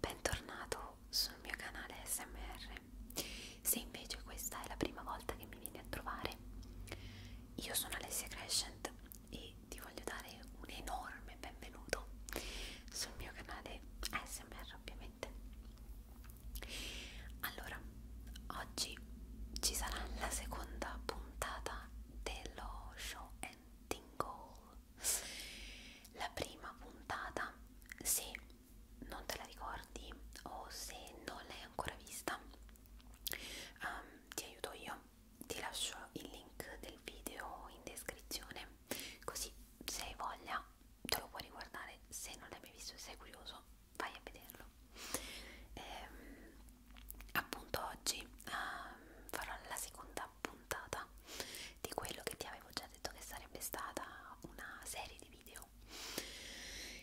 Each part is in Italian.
Bentornato sul mio canale SMR. Se invece questa è la prima volta che mi vieni a trovare, io sono Alessia Crescent e ti voglio dare un enorme benvenuto sul mio canale ASMR ovviamente. Allora, oggi ci sarà la seconda puntata dello show and tingle la prima puntata, se non te la ricordi o se non l'hai ancora vista, um, ti aiuto io. Ti lascio il link del video in descrizione, così se hai voglia te lo puoi riguardare. Se non l'hai mai visto e sei curioso, vai a vederlo. Ehm, appunto oggi um, farò la seconda puntata di quello che ti avevo già detto che sarebbe stata una serie di video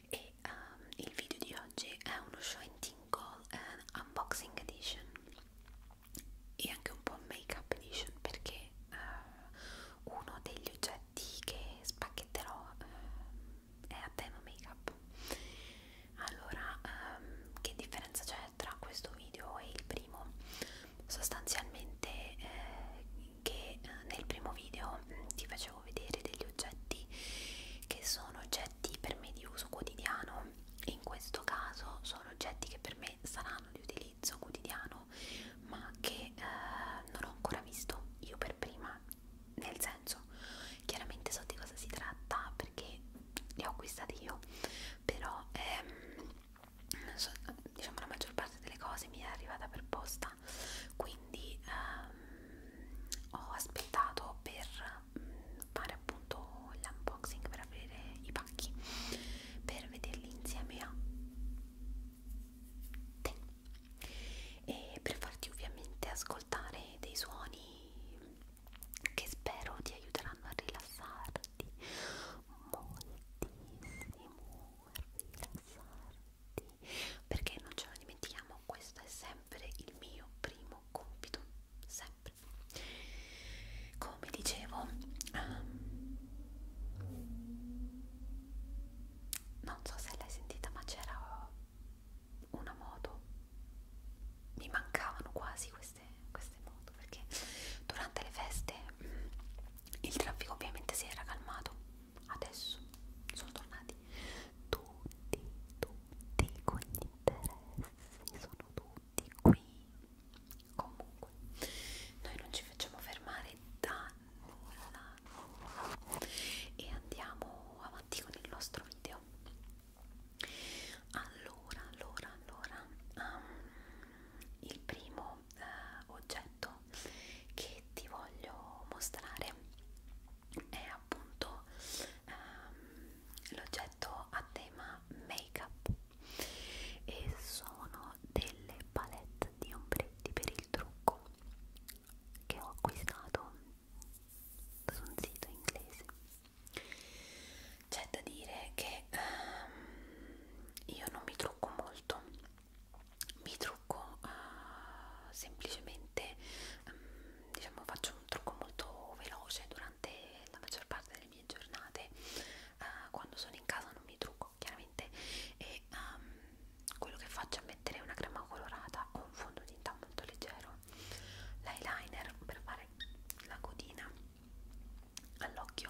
e um, il video di oggi è uno show in tingle uh, eh, unboxing edition e anche un po' make up edition perché uh, uno degli oggetti che spacchetterò uh, è a tema make up allora um, che differenza c'è eccetera questo video è il primo sostanzialmente eh, che eh, nel primo video mm, ti facevo vedere degli oggetti che sono oggetti per me di uso quotidiano in questo caso sono oggetti che per me saranno di utilizzo quotidiano ma che eh, non ho ancora visto io per prima nel senso chiaramente so di cosa si tratta perché li ho acquistati io però ehm, so, diciamo la maggior parte delle cose mi è arrivata per posta quindi ehm, ho aspettato per mm, fare appunto l'unboxing per aprire i pacchi per vederli insieme a te e per farti ovviamente ascoltare dei suoni che spero ti aiuteranno a rilassarti rilassarti perché non ce lo dimentichiamo questo è sempre il mio primo compito sempre come dicevo um, non so se l'hai sentita ma c'era una moto mi mancavano quasi queste queste, queste moto perché durante le feste mh, mm, il traffico ovviamente si era calmato adesso sono tornati tutti tutti con gli interessi sono tutti qui comunque noi non ci facciamo fermare da nulla, nulla e andiamo avanti con il nostro video allora allora allora um, il primo questo eh, oggetto che ti voglio mostrare è appunto ehm, l'oggetto a tema make up e sono delle palette di ombretti per il trucco che ho acquistato su un sito inglese c'è da dire che um, io non mi trucco molto mi trucco uh, semplicemente um, diciamo faccio un trucco molto veloce durante la maggior parte delle mie giornate uh, quando sono in casa non mi trucco chiaramente e um, quello che faccio è mettere una crema colorata o un fondotinta molto leggero l'eyeliner per fare la codina all'occhio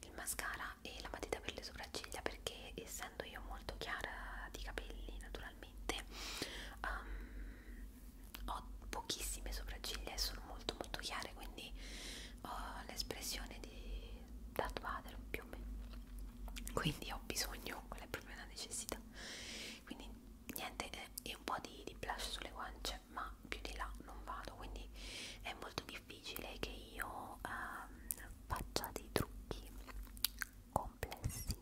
il mascara e la matita per le sopracciglia perché essendo io molto chiara di capelli naturalmente um, ho pochissime sopracciglia e sono molto molto chiare quindi ho l'espressione di Darth Vader più o meno quindi ho bisogno, quella è proprio una necessità quindi niente, eh, e eh, un po' di, di blush sulle guance ma più di là non vado quindi è molto difficile difficile che io ehm, faccia dei trucchi complessi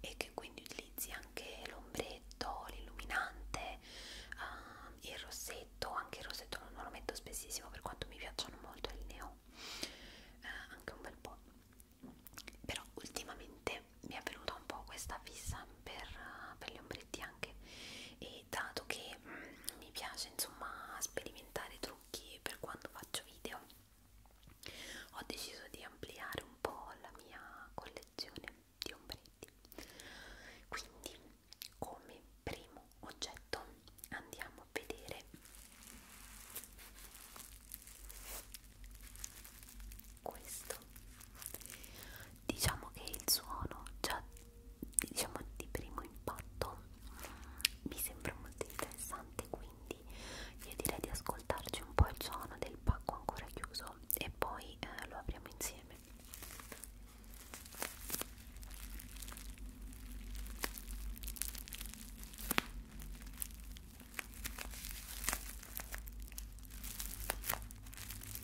e che quindi utilizzi anche l'ombretto, l'illuminante, ehm, il rossetto, anche il rossetto non lo metto spessissimo per quanto mi piacciono molto il neo, eh, anche un bel po', però ultimamente mi è venuta un po' questa fissa per, eh, per gli ombretti anche e dato che e mm, mh, mi piace insomma sperimentare trucchi per quando faccio video ho deciso di ampliare un po' la mia collezione di ombretti quindi come primo oggetto andiamo a vedere questo diciamo che il suono già diciamo di primo impatto mm, mi sembra molto interessante quindi io direi di ascoltarci un po' il suono del pacco ancora chiuso e poi eh, lo apriamo insieme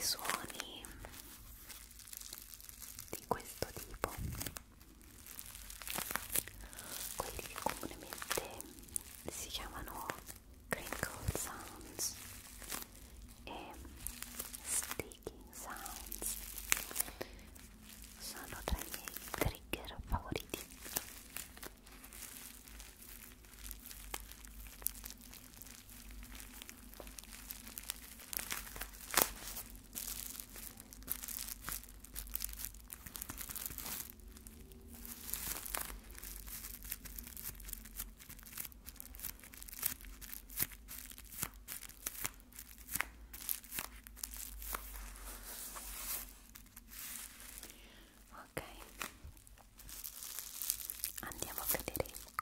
I suoni di questo tipo quelli che comunemente si chiamano crinkle sounds e sticky sounds sono tra i miei trigger favoriti Ok, andiamo a vedere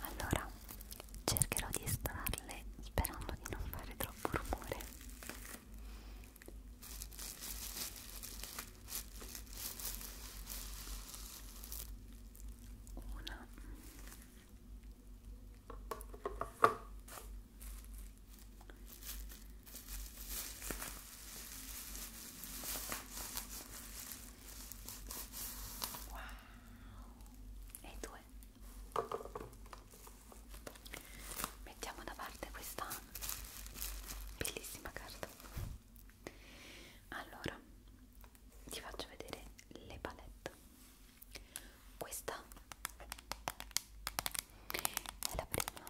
allora cercherò di estrarle sperando di non fare troppo rumore una Wow. E due. Mettiamo da parte questa bellissima carta. Allora, ti faccio vedere le palette. Questa è la prima.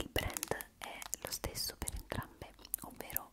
Il brand è lo stesso per entrambe, ovvero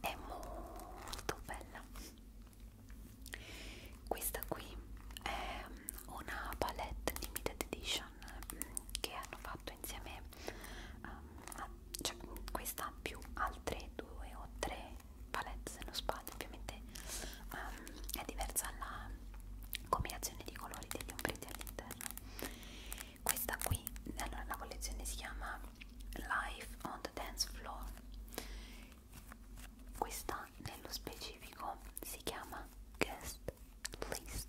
è molto bella questa qui è una palette limited edition mm, che hanno fatto insieme um, a, cioè, questa più altre due o tre palette se non sbaglio ovviamente um, è diversa la combinazione di colori degli ombretti all'interno questa qui allora la collezione si chiama Life on the Dance Floor questa nello specifico si chiama Guest List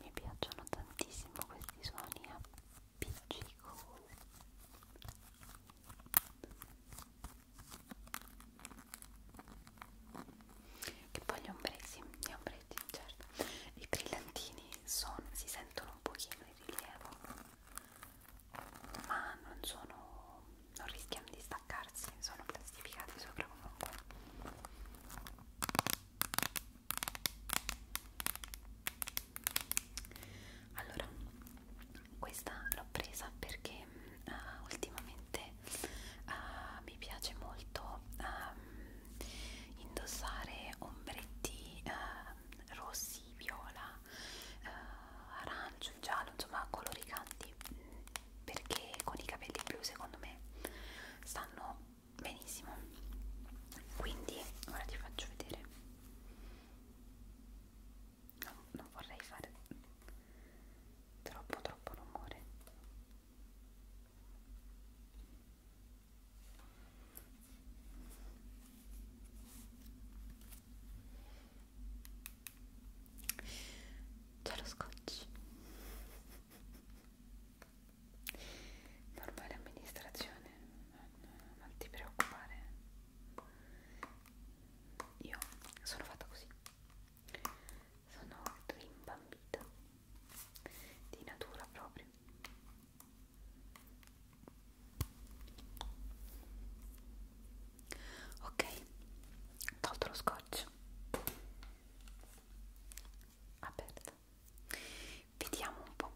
mi piacciono tantissimo questi suoni appiccicosi e poi gli ombretti, gli ombretti certo, i brillantini sono, si sentono un pochino in rilievo ma non sono non rischiano di staccarsi, sono plastificati sopra comunque allora questa l'ho presa perché uh, ultimamente uh, mi piace molto um, indossare ombretti uh, rossi, viola, uh, arancio, giallo, insomma colori canti perché con i capelli blu secondo me stanno benissimo quindi ora ti faccio vedere no, non vorrei fare troppo troppo rumore c'è lo scotch normale amministrazione non, non ti preoccupare io sono fatta così sono rimbambita di natura proprio ok tolto lo scotch aperta vediamo un po'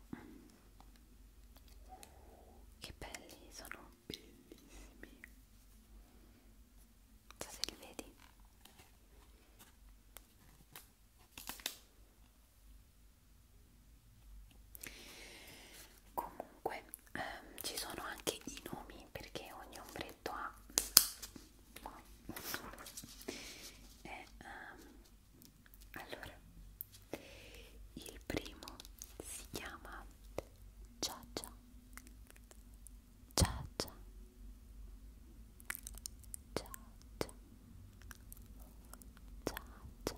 che belli sono bellissimi so se li vedi comunque ehm, ci sono anche i nomi perché ogni ombretto ha ma eh, um, allora il primo si chiama Cia Cia Cia Cia Cia Cia Cia Cia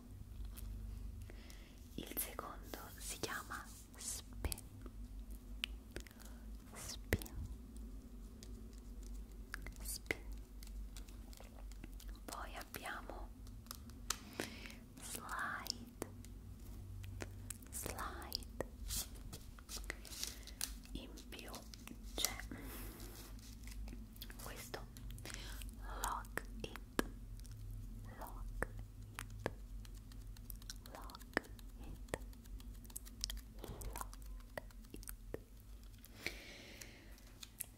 il secondo si chiama Spin spin spin poi abbiamo slide slide in più c'è questo lock it lock it lock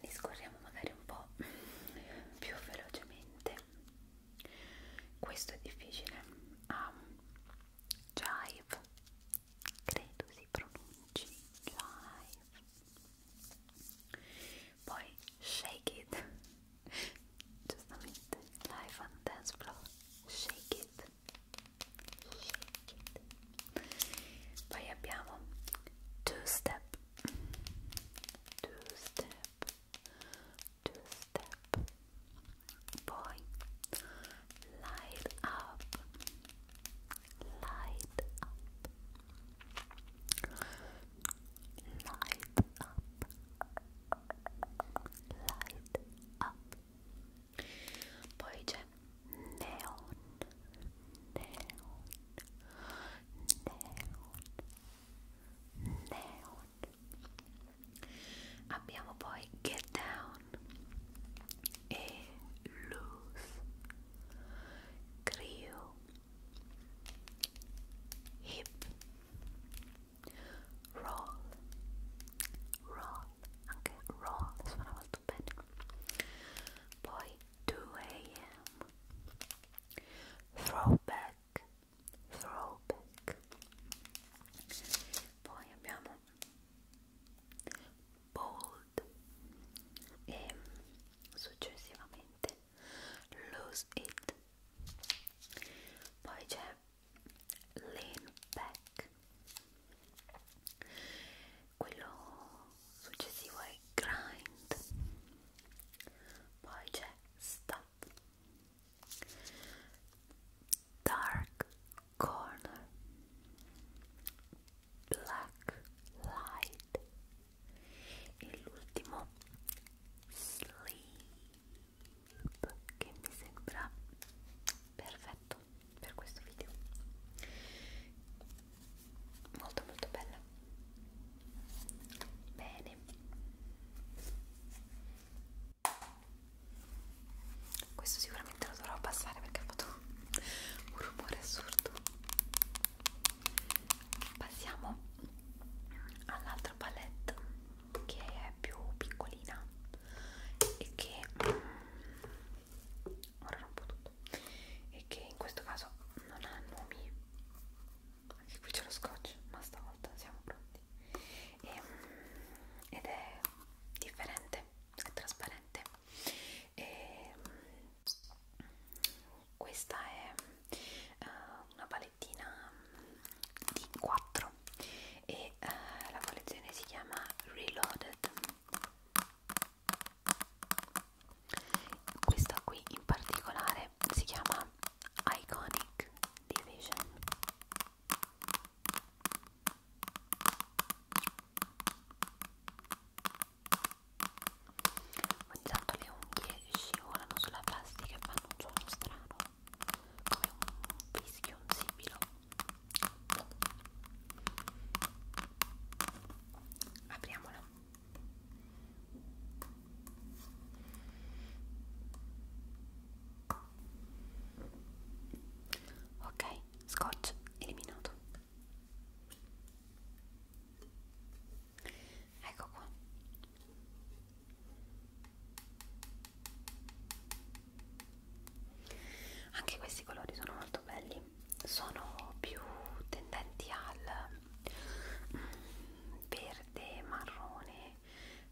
li scorriamo magari un po' più velocemente questo è difficile um, jive credo si pronunci jive poi shake it giustamente live on dance floor shake it shake it poi two step two step two step light up light up light up light up poi c'è neon neon neon neon abbiamo poi get down e loose Creo hip roll roll anche roll suona molto bene poi 2 am throwback throwback poi abbiamo bold e successivamente lose it poi c'è lean back quello successivo è grind poi c'è stop dark corner black light e l'ultimo sleep che mi sembra perfetto per questo video molto molto bella bene questo sicuramente lo dovrò abbassare perché ha fatto un rumore assurdo passiamo all'altra palette che è più piccolina e che mm, ora rompo tutto e che in questo caso non ha nomi anche qui c'è lo scotch ma stavolta siamo pronti e, mm, ed è differente è trasparente e, mm, questa è uh, una palettina di 4 e eh, la collezione si chiama Reloaded questa qui in particolare si chiama Iconic Division ogni tanto le unghie scivolano sulla plastica e fanno un suono strano come un fischio, un sibilo apriamola ok, scotch eliminato ecco qua anche questi colori sono molto belli sono più tendenti al mm, verde marrone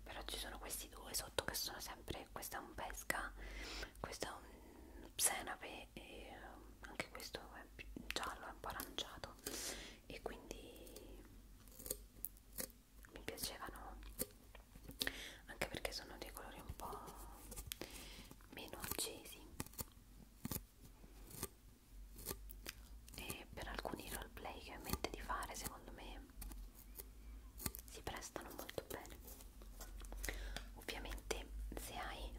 però ci sono questi due sotto che sono sempre questo è un pesca questo è un senape e eh, anche questo è giallo è un po' aranciato e quindi mi piacevano anche perché sono dei colori un po' meno accesi e per alcuni roleplay che ho in mente di fare secondo me si prestano molto bene ovviamente se hai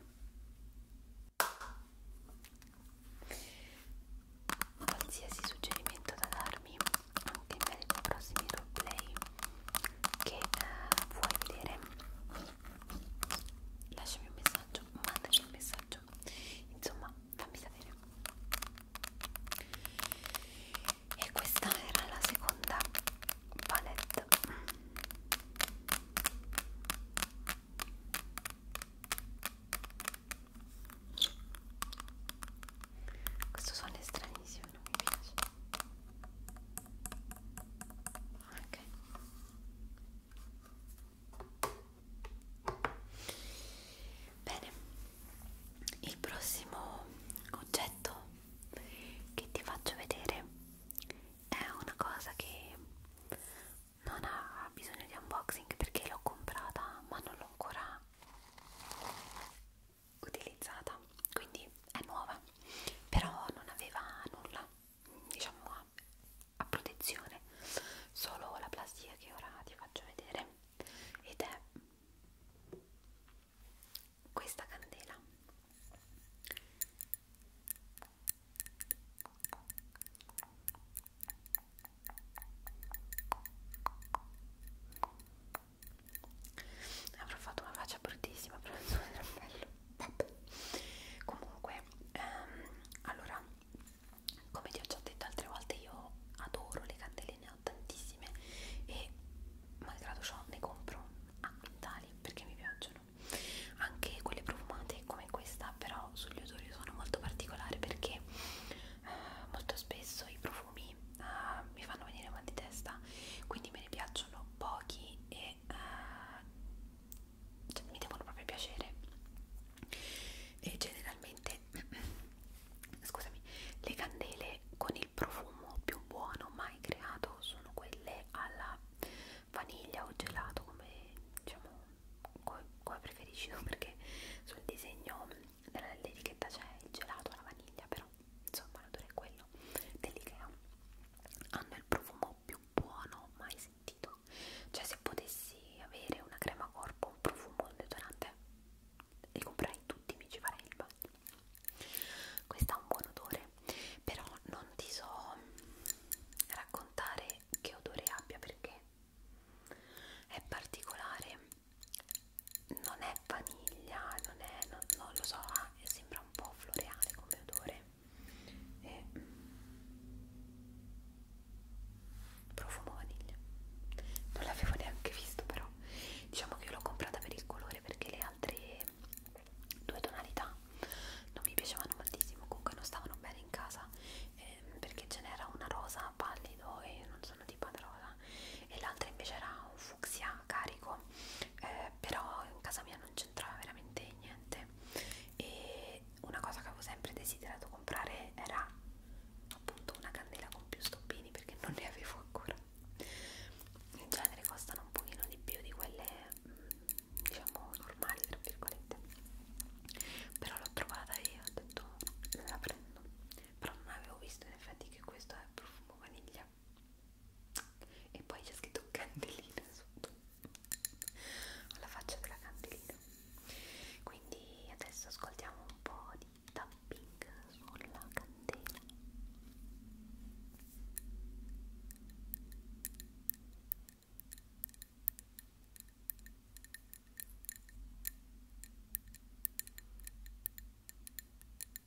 qualsiasi suggerimento da darmi anche in merito ai prossimi roleplay che eh, vuoi vedere lasciami un messaggio mandami un messaggio insomma fammi sapere e questa era la seconda palette questo suono è stranissimo, non mi piace. Ok. Bene, il prossimo oggetto che ti faccio vedere è una cosa che non ha bisogno di unboxing perché l'ho comprata ma non l'ho ancora utilizzata quindi è nuova però non aveva nulla diciamo a, a protezione solo la plastica che ora ti faccio vedere ed è questa candela avrò fatto una faccia bruttissima però non era bello Vabbè. comunque ehm, allora come ti ho già detto altre volte io adoro le candeline ho tantissime e malgrado ciò ne compro a quintali perché mi piacciono anche quelle profumate come questa però sugli odori sono molto particolare perché eh, molto spesso i profumi profumi uh, eh, mi fanno venire mal di testa quindi me ne piacciono pochi e uh, cioè, mi devono proprio piacere e generalmente scusami le candele con il profumo più buono mai creato sono quelle alla vaniglia o gelato come diciamo come preferisci tu perché sul disegno dell'etichetta c'è il gelato alla vaniglia però insomma l'odore è quello dell'Ikea hanno il profumo più buono mai sentito cioè se potessi avere una crema corpo un profumo, un deodorante li comprerei tutti, mi ci farei il bagno questo ha un buon odore però non ti so raccontare che odore abbia perché è particolare non è vaniglia, non è, non, non lo so, ah, sembra un po' floreale come odore e profumo vaniglia non l'avevo neanche visto però diciamo che io l'ho comprata per il colore perché le altre due tonalità non mi piacevano moltissimo comunque non stavano bene in casa eh, perché ce n'era una rosa pallido e non so sono di Padrola e l'altra invece era un fucsia carico eh, però in casa mia non c'entrava veramente niente e una cosa che avevo sempre desiderato comprare era appunto una candela con più stoppini perché non ne avevo ancora in genere costano un pochino di più di quelle mm, diciamo normali tra virgolette però l'ho trovata e ho detto la prendo però non avevo visto in effetti che questo è profumo vaniglia e poi c'è scritto candelina sotto alla faccia della candelina quindi adesso ascoltiamo un po' di tapping sulla candela Ecco.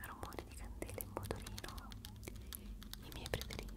Rumori di candele in motorino, i miei preferiti.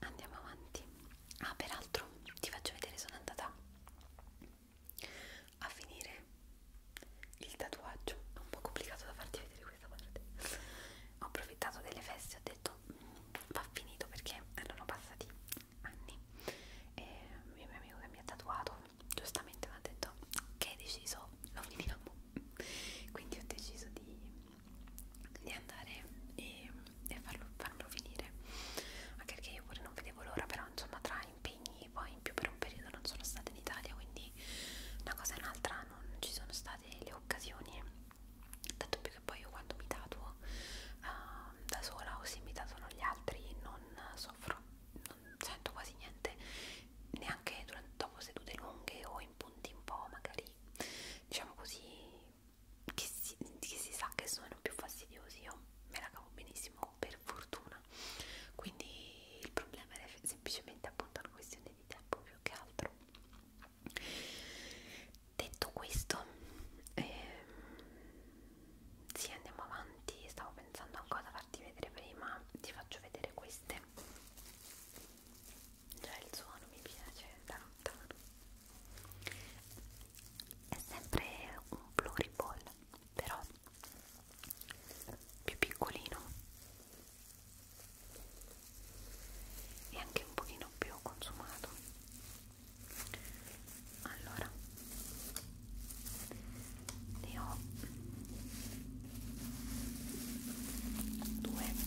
andiamo avanti ah peraltro ti faccio vedere sono andata a finire il tatuaggio è un po' complicato da farti vedere questa parte ho approfittato delle feste ho detto mm, va finito perché erano passati anni e il mio amico che mi ha tatuato giustamente mi ha detto che hai deciso lo finiamo quindi ho deciso di, di andare e, e farlo, farlo finire anche perché io pure non vedevo l'ora però insomma tra impegni poi in più per un periodo non sono stata in Italia quindi una cosa e un'altra non ci sono state le occasioni tanto più che poi io quando mi tatuo uh, da sola o se mi tatuano gli altri non soffro non sento quasi niente neanche durante, dopo sedute lunghe o in punti un po' magari diciamo così che si, che si sa che sono più fastidiosi io me la cavo benissimo per fortuna quindi il problema era semplicemente appunto una questione di tempo più che altro detto questo eh, sì andiamo avanti stavo pensando a cosa farti vedere prima ti faccio vedere queste già il suono mi piace da lontano è sempre un pluriball però più piccolino e anche un pochino più consumato allora ne ho due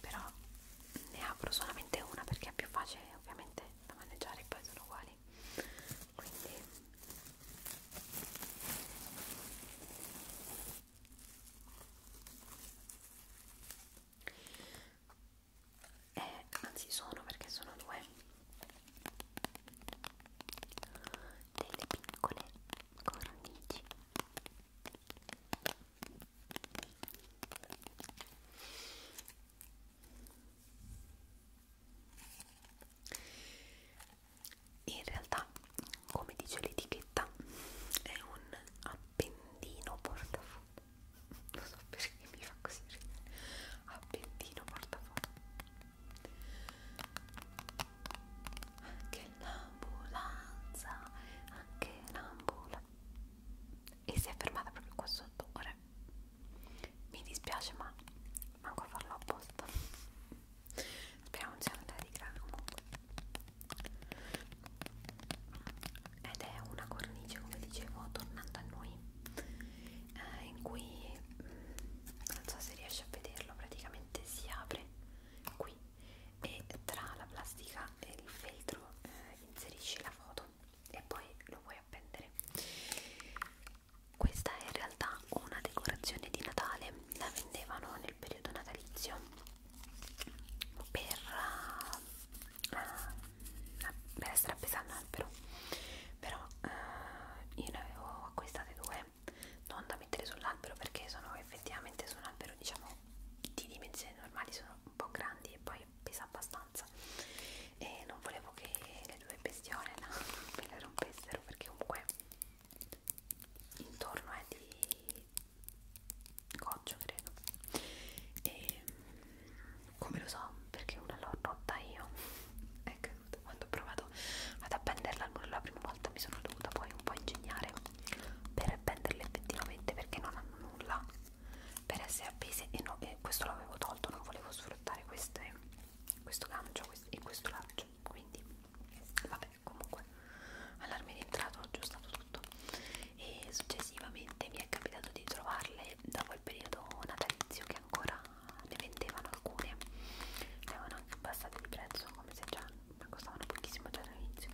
però ne apro solamente una perché è più facile ovviamente da maneggiare poi sono uguali quindi eh, anzi sono perché sono due delle piccole cornici in realtà come dice l'etichetta è un appendino portafoglio non so perché mi fa così ridere appendino portafoglio anche l'ambulanza, anche l'ambulanza. E si è fermata proprio qua sotto. Ora mi dispiace, ma manco a farlo apposta. Speriamo non sia andata di grano comunque. Ed è una cornice, come dicevo, tornando a noi eh, in cui non so se riesci a vederlo praticamente si apre qui e tra la plastica e il feltro eh, inserisci la foto e poi lo puoi appendere questa è in realtà una decorazione di Natale la vendevano nel periodo natalizio per, uh, uh, per essere appesa all'albero però eh, io ne avevo acquistate due non da mettere sull'albero perché sono effettivamente su un albero diciamo di dimensioni normali sono un po' grandi e poi pesa abbastanza e non volevo che le due bestiole no, me le rompessero perché comunque intorno è di goccio credo e come lo so perché una l'ho rotta io ecco interessante quando ho provato ad appenderla al muro la prima volta mi sono dovuta poi un po' ingegnare per appenderla effettivamente perché non hanno nulla per essere appese e, no, e questo l'avevo tolto non volevo sfruttare queste, questo gancio questo, e questo lancio quindi vabbè comunque all'arme rientrato ho aggiustato tutto e successivamente mi è capitato di trovarle da quel periodo natalizio che ancora ne vendevano alcune ne avevano anche abbassate di prezzo come se già costavano pochissimo già all'inizio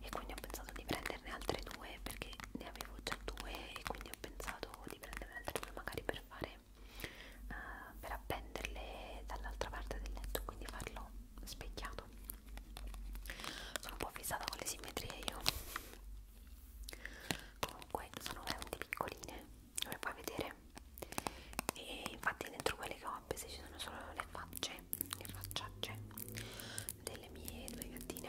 e quindi ho pensato di prenderne altre due perché ne avevo già due e quindi ho pensato di prenderne altre due magari per fare uh, per appenderle dall'altra parte del letto quindi farlo specchiato sono un po' fissata con le simmetrie io comunque sono veramente piccoline come puoi vedere e infatti dentro quelle che ho appese ci sono solo le facce le facciacce delle mie due gattine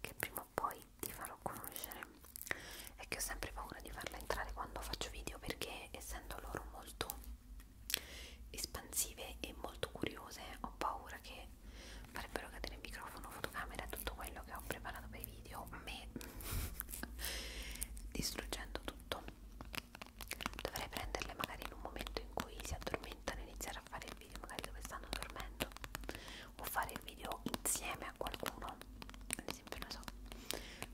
che prima o poi ti farò conoscere è che ho sempre paura di farla entrare quando faccio video perché essendo loro molto espansive e molto curiose ho paura che farebbero cadere il microfono, fotocamera e tutto quello che ho preparato per i video me distruggendo tutto dovrei prenderle magari in un momento in cui si addormentano e iniziare a fare il video magari dove stanno dormendo o fare il video insieme a qualcuno ad esempio non so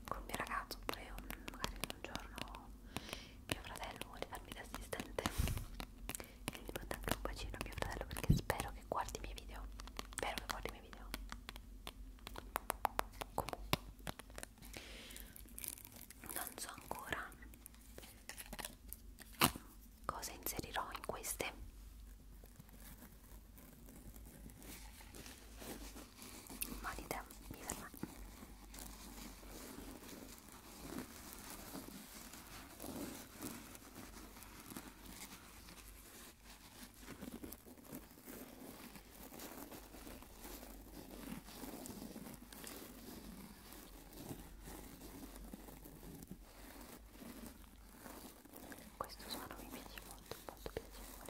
col mio ragazzo oppure un, magari un giorno mio fratello vuole farmi da assistente quindi mando anche un bacino a mio fratello perché spero che guardi i miei video spero che guardi i miei video comunque non so ancora cosa inserirò in queste mali tempi per me questo suono mi piace molto molto piacevole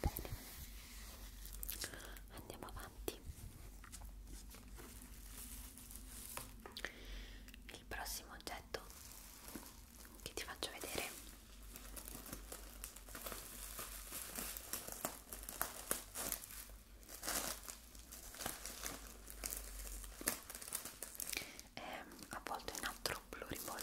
Bene. Andiamo avanti. Il prossimo oggetto che ti faccio vedere è avvolto in altro pluriball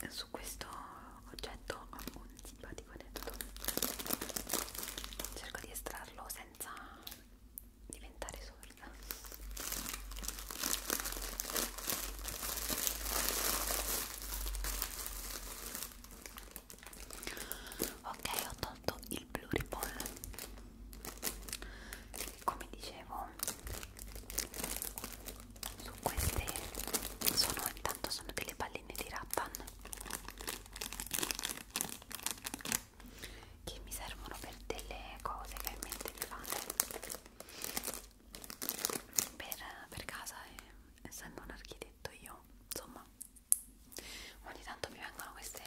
e su questo oggetto ho un simpatico aneddoto cerco di estrarlo senza diventare sorda ok ho tolto il pluripol come dicevo su queste sono intanto sono delle palline di rattan che mi servono per delle cose che ho in mente di fare per, per casa e eh, essendo un architetto io insomma ogni tanto mi vengono queste,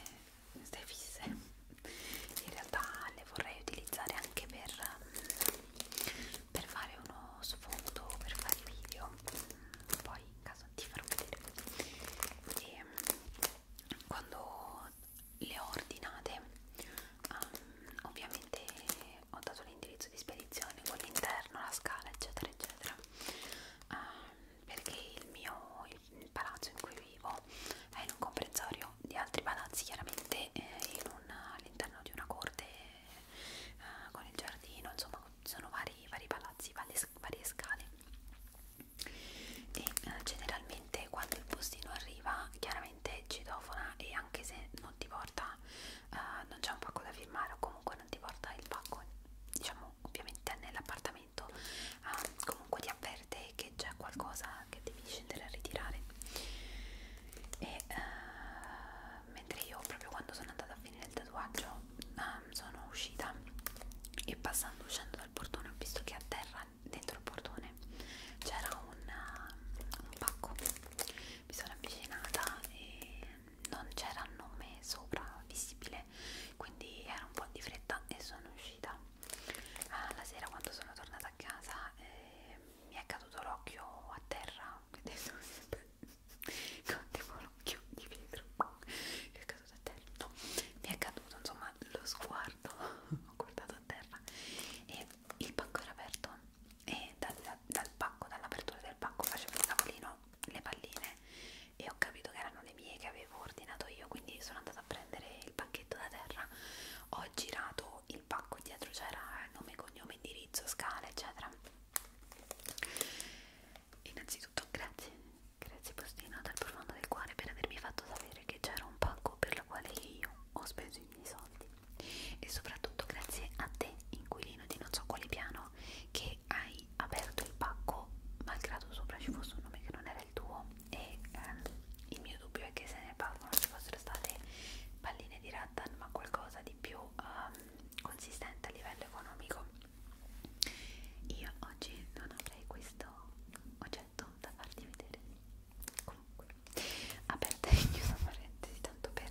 queste fisse in realtà le vorrei utilizzare anche per, per fare uno sfondo per fare video poi in caso ti farò vedere e ehm, quando le ho ordinate um, ovviamente ho dato l'indirizzo di spedizione, quello interno, la scala eccetera eccetera ehm, perché il mio il palazzo in cui vivo è in un comprensorio di altri palazzi chiaramente eh, all'interno di una corte eh, con il giardino insomma sono vari, vari palazzi varie scale e eh, generalmente quando il postino arriva chiaramente citofona e anche se non ti porta eh, non c'è un pacco da firmare o comunque ti porta il pacco, diciamo ovviamente nell'appartamento, ah, comunque ti avverte che c'è qualcosa che devi scendere a ritirare. E uh, mentre io proprio quando sono andata a finire il tatuaggio uh, sono uscita e passando uscendo dal portone ho visto che a terra dentro il portone c'era un, uh, un pacco mi sono avvicinata e non c'era nome sopra visibile quindi era un po' di fretta e sono uscita ah, la sera quando sono tornata a casa eh, mi è caduto l'occhio a terra ed è sempre contevo l'occhio di vetro mi è caduto a terra no, mi è caduto insomma lo sguardo ho guardato a terra e il pacco era aperto e dal, dal pacco, dall'apertura del pacco facevo il tavolino le palline e ho capito che erano le mie che avevo ordinato io quindi sono andata a prendere il pacchetto da terra ho girato il pacco dietro c'era nome, cognome, indirizzo, scala eccetera innanzitutto grazie grazie postino dal profondo del cuore per avermi fatto sapere che c'era un pacco per la quale io ho speso i miei soldi e soprattutto grazie a te inquilino di non so quale piano che hai hai aperto il pacco malgrado sopra ci fosse un nome che non era il tuo e ehm, il mio dubbio è che se nel pacco non ci fossero state palline di rattan ma qualcosa di più ehm, consistente a livello economico io oggi non avrei questo oggetto da farti vedere comunque aperta e chiusa parentesi tanto per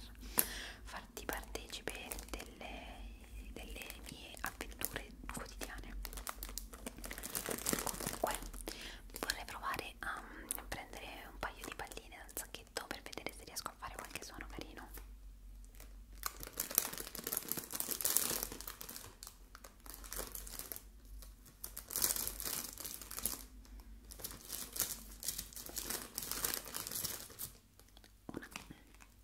farvi farti partecipe delle, delle mie avventure quotidiane comunque vorrei provare a prendere un paio di palline dal sacchetto per vedere se riesco a fare qualche suono carino una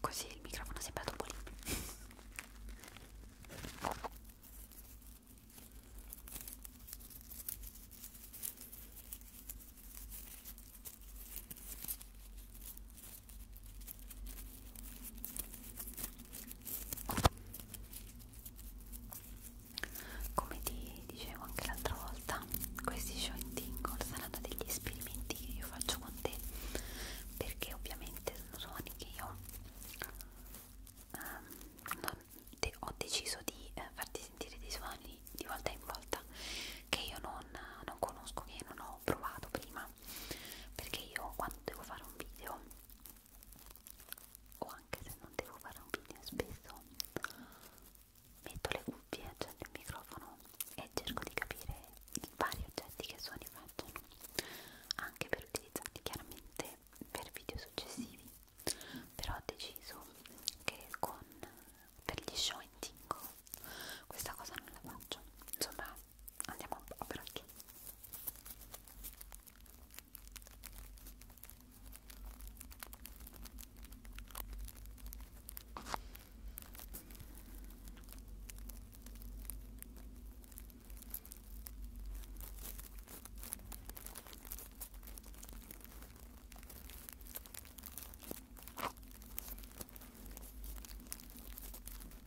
Così il microfono sembra un po' libero come ti dicevo anche l'altra volta questi showing tingle saranno degli esperimenti che io faccio con te perché ovviamente sono suoni che io um, non de ho deciso di eh, farti sentire dei suoni di volta in volta che io non, non conosco, che non ho provato prima perché io quando devo fare un video o anche se non devo fare un video spesso metto le cuffie, accendo il microfono e cerco di capire i vari oggetti che suoni facciano anche per utilizzarli chiaramente per video successivi però ho deciso che con per gli show in tingo questa cosa non la faccio insomma andiamo a braccio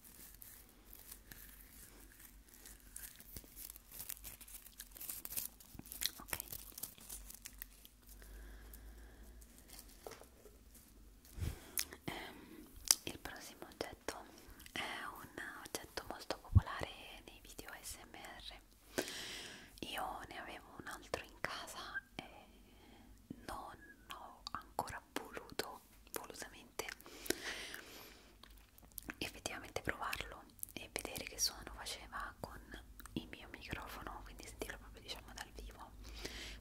Ok. Ehm, il prossimo oggetto è un oggetto molto popolare nei video ASMR. Io ne avevo un altro in casa e non ho ancora voluto volevo volutamente effettivamente provarlo e vedere che suono faceva con il mio microfono quindi sentirlo proprio diciamo dal vivo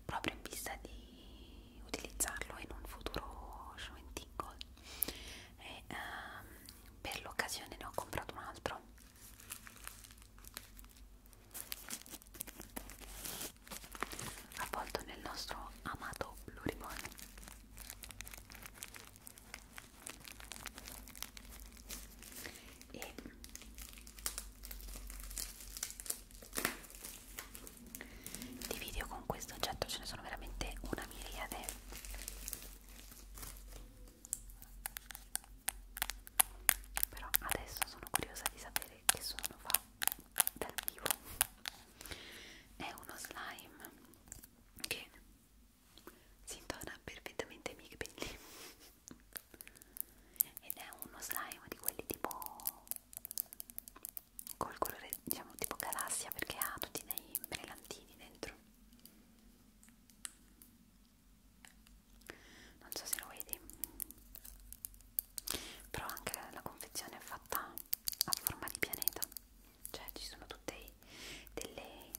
proprio in vista di utilizzarlo in un futuro show and tingle e um, per l'occasione ne ho comprato un altro avvolto nel nostro amato blu ribbon e di video con questo oggetto ce ne sono veramente una miriade però adesso sono curiosa di sapere che suono fa dal vivo è uno slime che si intona perfettamente ai miei capelli ed è uno slime di quelli tipo col colore diciamo tipo galassia perché ha tutti dei brillantini dentro non so se lo vedi però anche la confezione è fatta a forma di pianeta cioè ci sono tutte delle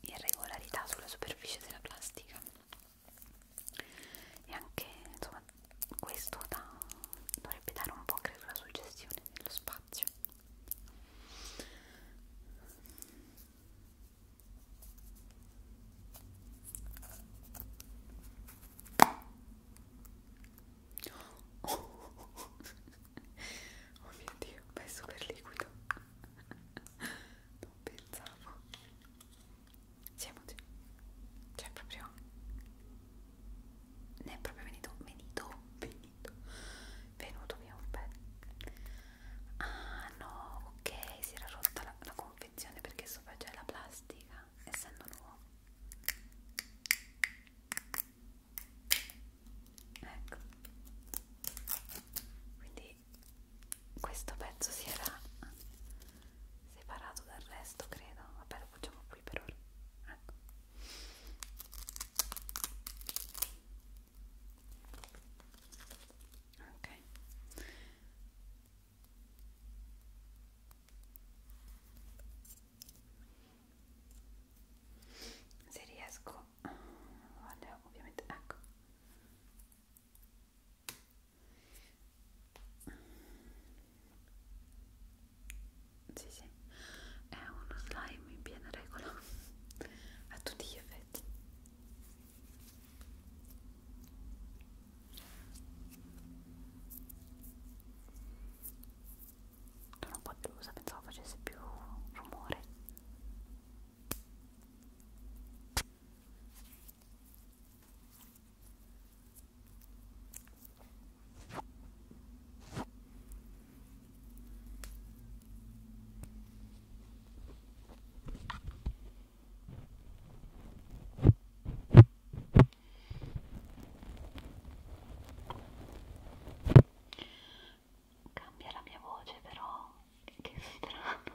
irregolarità sulla superficie della plastica e anche insomma questo da, dovrebbe dare un po' credo la suggestione dello spazio Oh, oh, oh, oh. oh mio dio, è super liquido. Non pensavo. Siamo già. Cioè, proprio. Ne è proprio venuto. Venuto. Venuto. Venuto via un pezzo. Ah no, ok, si era rotta la, la confezione perché sopra c'è la plastica, essendo nuovo ecco quindi questo pezzo si era separato dal resto credo vabbè lo facciamo qui per ora ecco ok se riesco vale, ovviamente ecco sì sì è uno slime in piena regola a tutti gli effetti sono un po' delusa, pensavo facesse più rumore. Cambia la mia voce però, che strano.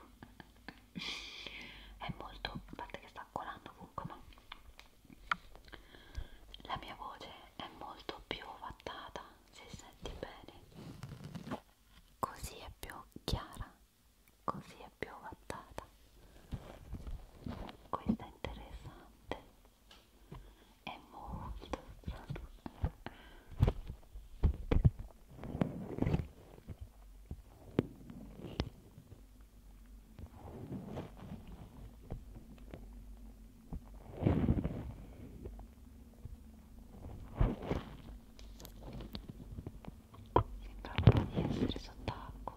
È molto, a parte che sta colando comunque, ma la mia voce è molto più ovattata, se senti bene. Così è più chiara, così è più ovattata. Questa è interessante è molto strano Sembra un po' di essere sott'acqua.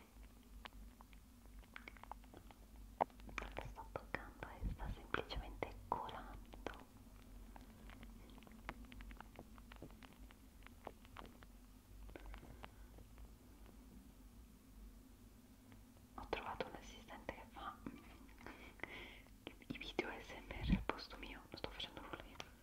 non la sto toccando e sta semplicemente colando ho trovato un assistente che fa i video smr al posto mio non sto facendo nulla io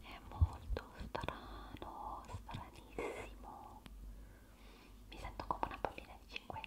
È molto strano, stranissimo mi sento come una bambina di 5 anni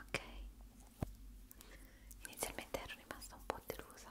Ok, inizialmente ero rimasta un po' delusa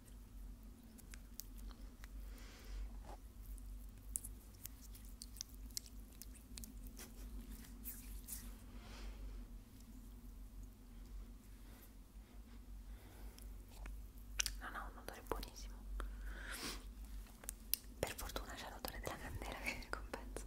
No, no, un odore buonissimo. Per fortuna c'è l'odore della candela che compensa.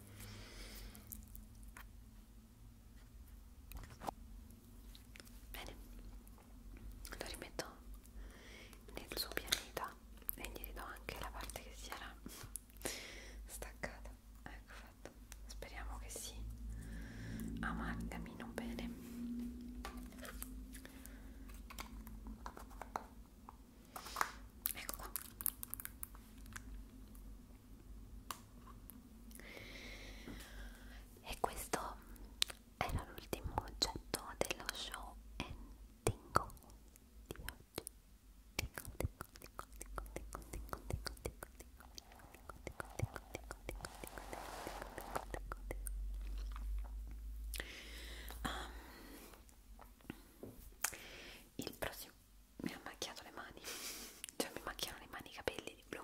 Bene, lo rimetto nel suo pianeta e gli ridò anche la parte che si era staccata. Ecco fatto. Speriamo che si amalgamino bene ecco qua e questo era l'ultimo oggetto dello show and tingle di oggi tingle tingle tingle tingle tingle tingle tingle tingle Um, il prossimo mi ha macchiato le mani cioè mi macchiano le mani i capelli di blu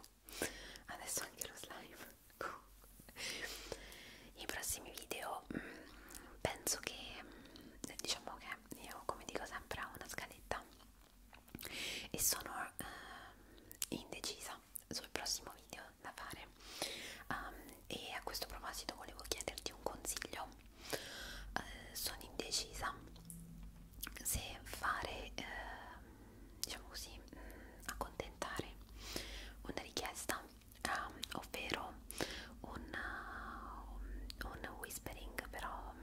adesso anche lo slime i prossimi video mm, penso che mm, diciamo che io come dico sempre ho una scaletta e sono eh, indecisa sul prossimo video da fare um, e a questo proposito volevo chiederti un consiglio eh, sono indecisa se fare eh, diciamo così mh, mm, accontentare una richiesta um, ovvero un, uh, un whispering però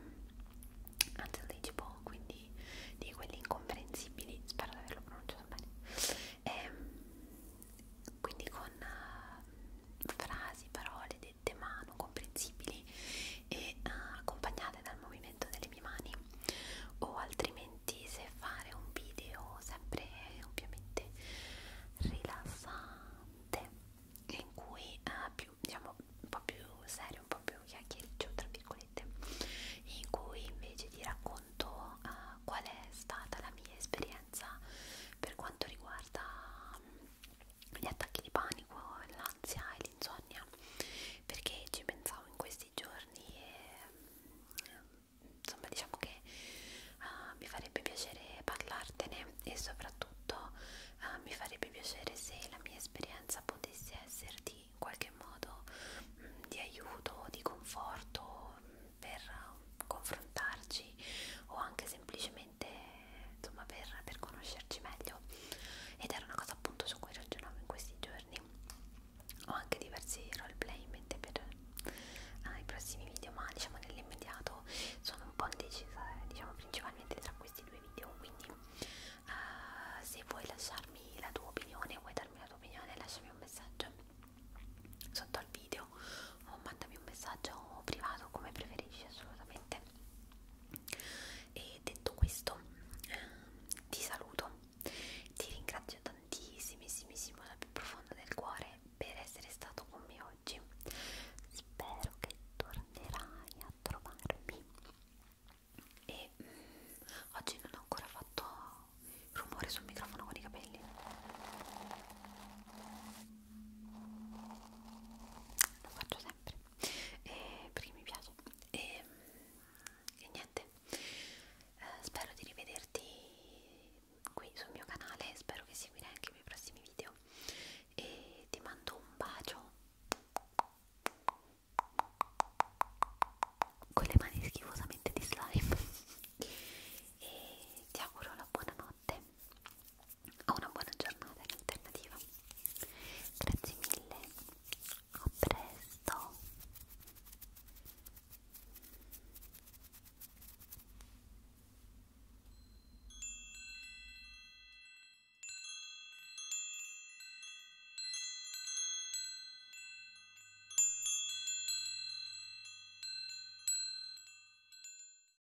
unlegible mm, quindi di quelli incomprensibili spero di averlo pronunciato bene e, ehm, quindi con uh, frasi, parole, lente mano comprensibili e uh, accompagnate dal movimento delle mie mani o altrimenti se fare un video sempre ovviamente rilassante in cui uh, più diciamo un po' più serio un po' più chiacchiericcio tra virgolette in cui invece ti racconto uh, qual è stata la mia esperienza per quanto riguarda um, gli attacchi di panico, l'ansia e l'insonnia perché ci pensavo in questi giorni e ehm, insomma diciamo che uh, mi farebbe piacere parlartene e soprattutto uh, mi farebbe piacere se la mia esperienza potesse esserti in qualche modo mh, di aiuto, di conforto mh, per eh, confrontarci o anche semplicemente veramente insomma per, per conoscerci meglio ed era una cosa appunto su cui ragionavo in questi giorni ho anche diversi roleplay in mente per eh, i prossimi video ma diciamo nell'immediato sono un po' indecisa eh, diciamo principalmente tra questi due video quindi eh, se vuoi lasciarmi la tua opinione vuoi darmi la tua opinione lasciami un messaggio sotto al video video o oh, mandami un messaggio privato come preferisci assolutamente e detto questo ehm, ti saluto ti ringrazio tantissimissimo dal più profondo del cuore per essere stato con me oggi spero che tornerai a trovarmi e mm, oggi non ho ancora fatto rumore sul microfono con i capelli lo faccio sempre eh, perché mi piace e, ehm, e niente eh, spero di rivederti qui sul mio canale spero che seguirai anche i miei prossimi video e ti mando un bacio con le mani schifosamente di slime e ti auguro una buona notte o una buona giornata in alternativa. Grazie mille, a presto!